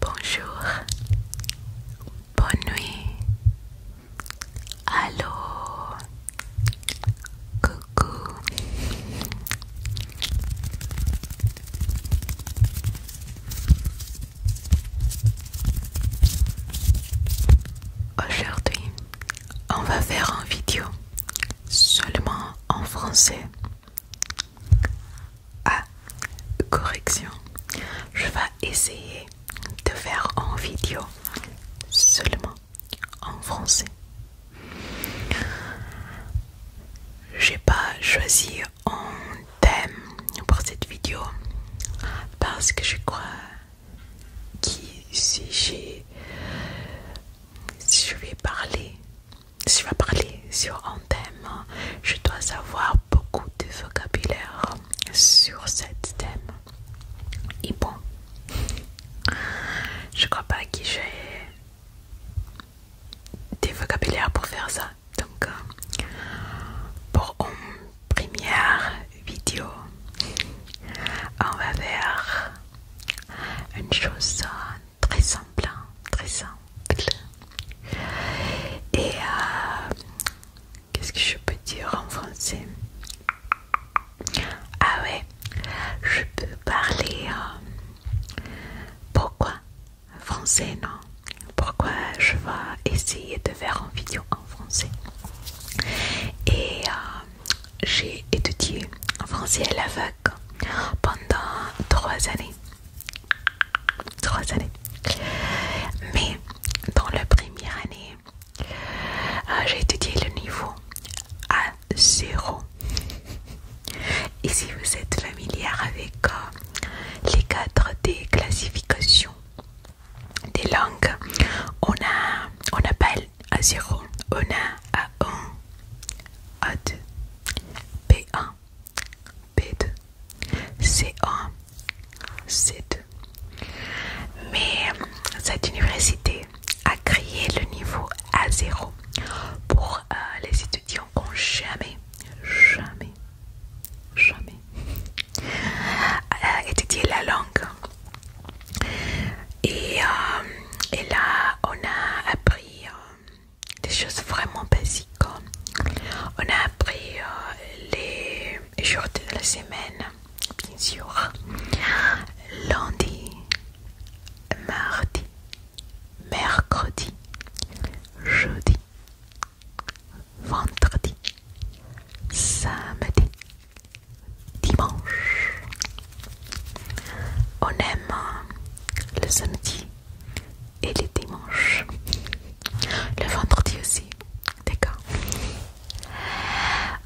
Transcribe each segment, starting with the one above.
Bonjour, bonne nuit, allô, coucou. Aujourd'hui, on va faire une vidéo seulement en français. Ah, correction, je vais essayer de faire en vidéo seulement en français. J'ai pas choisi un thème pour cette vidéo parce que je crois que si j'ai si je vais parler si je vais parler sur un thème, je dois avoir beaucoup de vocabulaire sur ce thème. Et bon, je crois pas que j'ai des vocabulaires pour faire ça. Donc, pour une première vidéo, on va faire une chose très simple, hein, très simple. Et euh, qu'est-ce que je peux dire en français Ah ouais, je peux parler. Euh, pourquoi français non Pourquoi je vais essayer de faire une vidéo en français Et euh, j'ai étudié en français à l'aveugle pendant trois années. Trois années. Mais dans la première année, euh, j'ai étudié le niveau a 0. Et si vous êtes familière avec euh, les cadres des classifications des langues, on, a, on appelle a 0, on a a 1, a 2, b 1 B2, C1, C2. Mais euh, cette université a créé le niveau A0 pour euh, les étudiants qui n'ont jamais, jamais, jamais euh, étudié la langue. Et, là, on a appris des choses vraiment basiques. On a appris euh, les jours de la semaine, bien sûr. Lundi, mardi, mercredi, jeudi, vendredi, samedi, dimanche. On aime euh, le samedi et les dimanches. Le vendredi aussi, d'accord.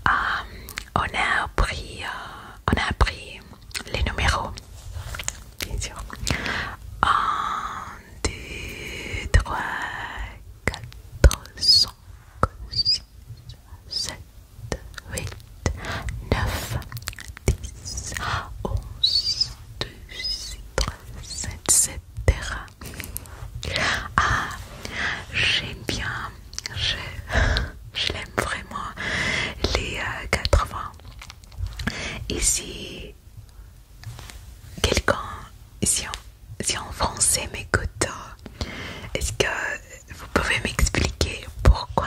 Euh, on a appris, euh, on a appris les numéros, bien sûr. 1, 2, 3, 4, 5, 6, 7, 8, 9, 10, 11, 12, 7 etc. Ah, j'aime bien, je, l'aime vraiment, les 80. Euh, Et euh, si quelqu'un, si, en français m'écoute, est-ce que vous pouvez m'expliquer pourquoi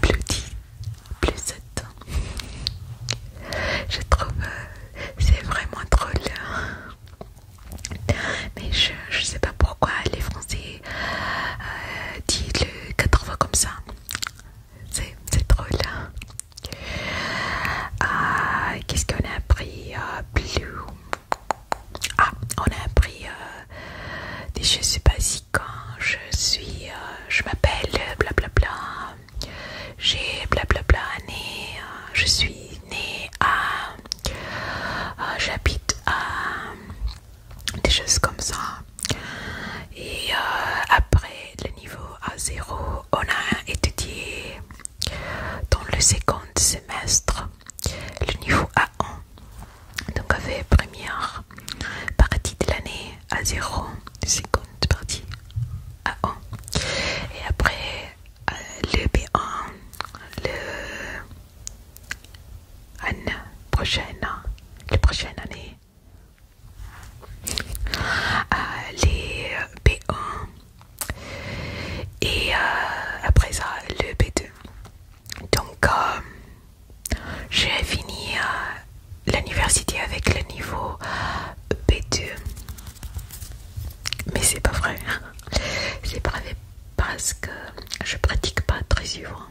plus dit, plus 7 Je trouve euh, c'est vraiment drôle. Hein. Mais je, je sais pas pourquoi les Français euh, disent le 80 comme ça. C'est drôle. Hein. Ah, qu'est-ce qu'on a appris euh, ah, on a appris des je sais pas quand je suis, euh, je m'appelle blablabla, euh, j'ai blablabla né, euh, je suis née à, j'habite à, des choses comme ça. Et après le niveau A0, on a étudié dans le second semestre le niveau A1. Donc avec première partie de l'année à 0, seconde partie à 1. Et après euh, le B1, le prochaine, la prochaine année. Euh, les B1 et euh, après ça le B2 donc j'ai fini euh, l'université avec le niveau B2. Mais c'est pas vrai. C'est pas vrai parce que je pratique pas très souvent.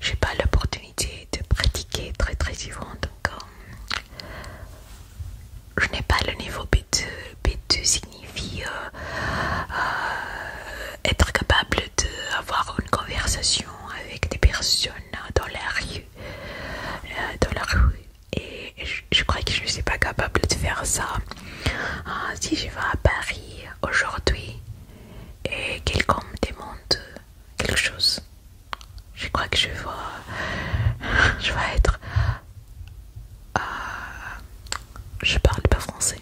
J'ai pas l'opportunité de pratiquer très très souvent. Donc euh, je n'ai pas le niveau B2. B2 signifie euh, être capable d'avoir une conversation avec des personnes dans la rue, euh, dans la rue. Et je, crois que je ne suis pas capable de faire ça. Ah, si je vais à Paris aujourd'hui et quelqu'un me demande quelque chose, je crois que je vais, je vais être... Euh, je parle pas français.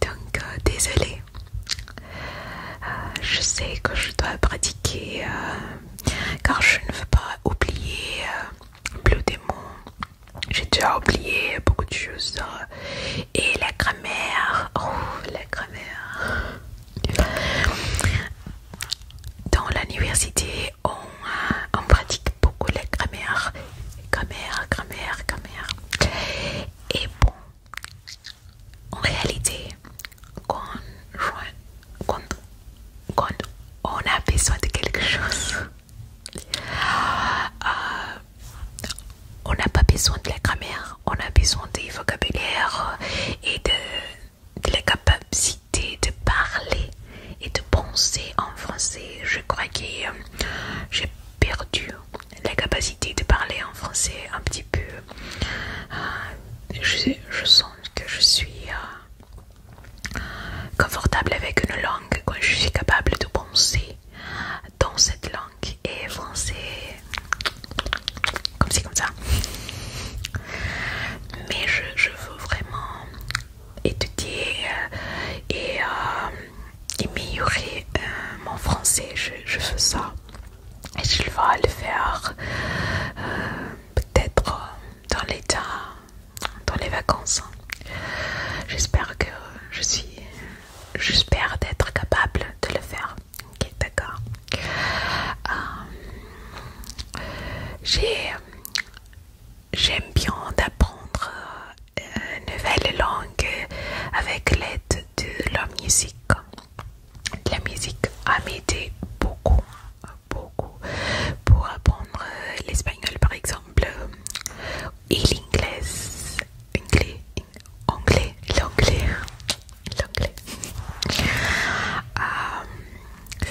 Donc euh, désolé, désolée. Euh, je sais que je dois pratiquer euh, car je ne veux pas oublier le plus des mots. J'ai déjà oublié beaucoup de choses. et la grammaire. Oh, la grammaire. Dans l'université, on pratique beaucoup la grammaire Grammaire, grammaire, grammaire. Et bon, en réalité, quand, on a besoin de quelque chose, euh, euh, on n'a pas besoin de la grammaire, on a besoin des vocabulaire et de, la capacité de parler et de penser en français. Je crois que euh, perdu la capacité de parler en français un petit peu. Euh, je, sens que je suis euh, confortable avec une langue quand je suis capable de penser dans cette langue et français comme c'est comme ça. Mais je, veux vraiment étudier euh, et améliorer mon euh, français. Je, fais ça et je vais le faire euh, peut-être euh, dans l'état, dans les vacances. Hein. J'espère que je suis, j'espère d'être capable de le faire. Ok, d'accord. J'ai j'aime bien d'apprendre euh, une nouvelle langue avec l'aide de la musique. La musique a aidé beaucoup, beaucoup pour apprendre l'espagnol par exemple et l'anglais, anglais, l'anglais, l'anglais. Euh,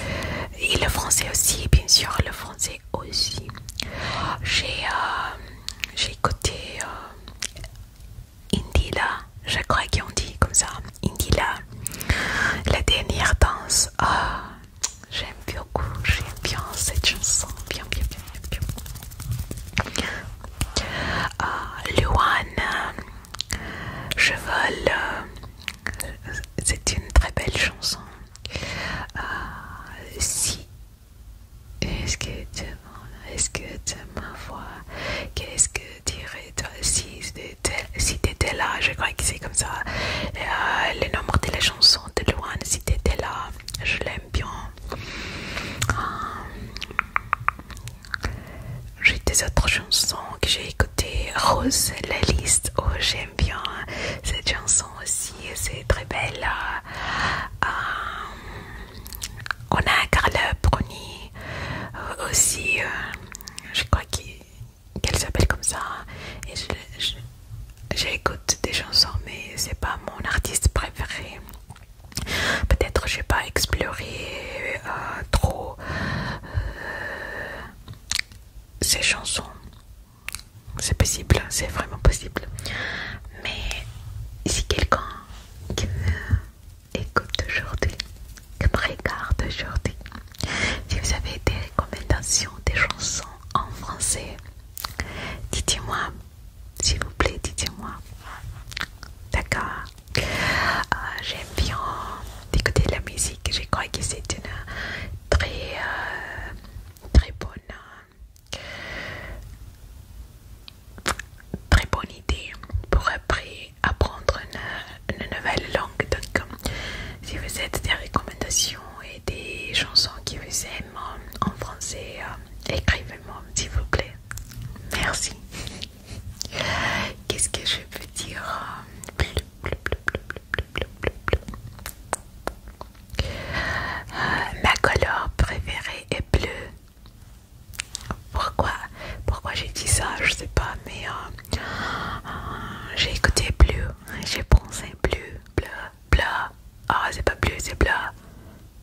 et le français aussi, bien sûr, le français aussi. J'ai euh, écouté euh, Indila, je crois ont dit comme ça, Indila, la dernière danse. Ah, j'aime beaucoup, j'aime bien cette chanson, bien, bien, bien, bien. Ah, Luan, je euh, vole, c'est une très belle chanson. Ah, si est-ce que tu est-ce que Qu'est-ce que dirais tu si tu étais là Je crois que c'est comme ça. Euh, le nombre de la chanson de loin, si t'étais là, je l'aime bien. Euh, j'ai des autres chansons que j'ai écoutées. Rose, la liste, oh j'aime bien cette chanson aussi, c'est très belle. Euh, on a Carla Bruni euh, aussi, euh, je crois qu'elle s'appelle comme ça. Et j'écoute des chansons, mais c'est pas mon artiste préféré. Peut-être j'ai pas exploré trop ces chansons. C'est possible, c'est vraiment possible. Mais si quelqu'un qui me écoute aujourd'hui, qui regarde aujourd'hui, si vous avez des recommandations, des chansons en français, dites-moi, s'il vous plaît, dites-moi. D'accord euh, J'aime bien écouter de la musique, je crois que c'est une très, euh, très bonne très bonne idée pour après apprendre une, nouvelle langue. Donc, euh, si vous avez des recommandations et des chansons qui vous aiment en français, euh, écrivez-moi s'il vous plaît. Merci. Qu'est-ce que je peux dire? Euh, ma couleur préférée est bleu. Pourquoi Pourquoi j'ai dit ça Je sais pas, mais euh, euh, j'ai écouté bleu. J'ai pensé bleu, bleu, bleu. Ah, c'est pas bleu, c'est bleu.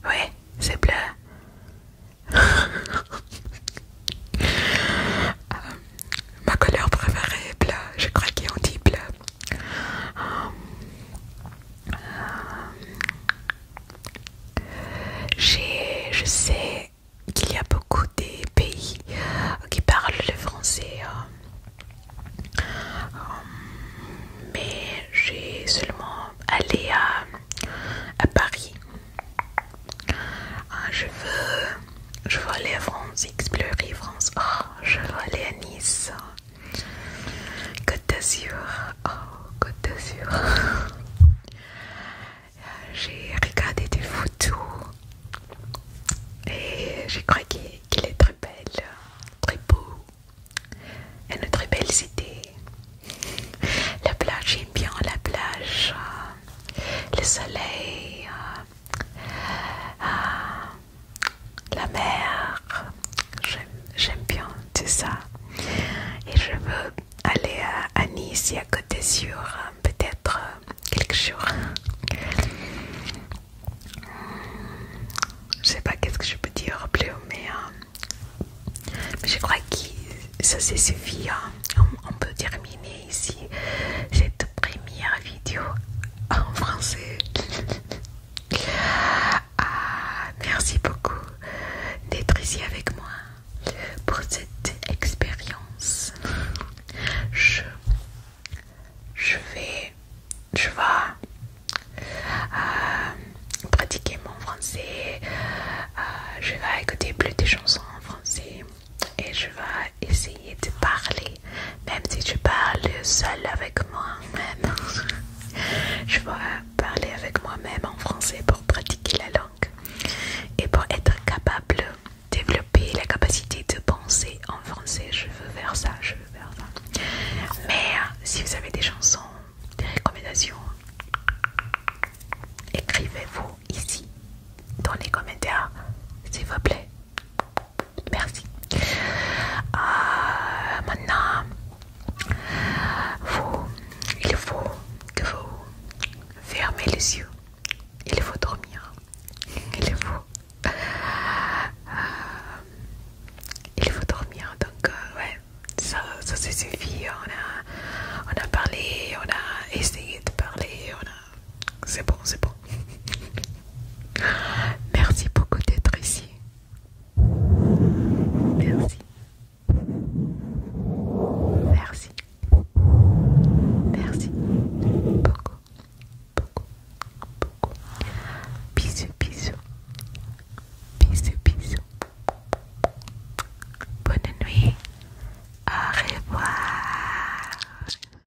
Oui, c'est bleu. ma couleur préférée est bleu. Je crois qu'ils ont dit bleu euh, je sais qu'il y a beaucoup de pays euh, qui parlent le français, euh, mais j'ai seulement allé à, Paris. Ah, je veux, je veux aller à France, explorer France. Oh, je veux aller à Nice. Côte d'Azur, oh Côte d'Azur. j'ai regardé des photos et j'ai cru qu'il est très belle, très beau, une très belle cité. La plage, j'aime bien la plage, euh, le soleil, euh, ah, la mer. J'aime bien tout ça. Et je veux aller à, Nice à côté sur peut-être quelques jours. Je sais pas qu'est-ce que je peux dire plus, euh, mais, je crois que ça c'est suffit. Hein. on peut terminer ici cette première vidéo en français. Ah, merci beaucoup d'être ici avec moi pour cette expérience. Je, vais, je vais euh, pratiquer mon français. Euh, je vais écouter plus de chansons en français et je vais essayer de parler même si tu parles seul avec moi-même. je vais parler avec moi-même en français pour pratiquer la langue et pour être capable de développer la capacité de penser en français. Je veux faire ça, je veux faire ça. Mais euh, si vous avez des chansons, des recommandations, écrivez-vous ici dans les commentaires, s'il vous plaît. Merci. Euh, maintenant, vous, il faut que vous fermez les yeux. Il faut dormir. Il faut. Euh, il faut dormir. Donc, euh, ouais, ça, ça suffit. On a, on a parlé, on a essayé de parler, on a c'est bon, c'est bon. Merci beaucoup d'être ici. Merci. Merci. Merci. Beaucoup. Beaucoup. Beaucoup. Bisous, bisous. Bisous, bisous. Bonne nuit. Au revoir.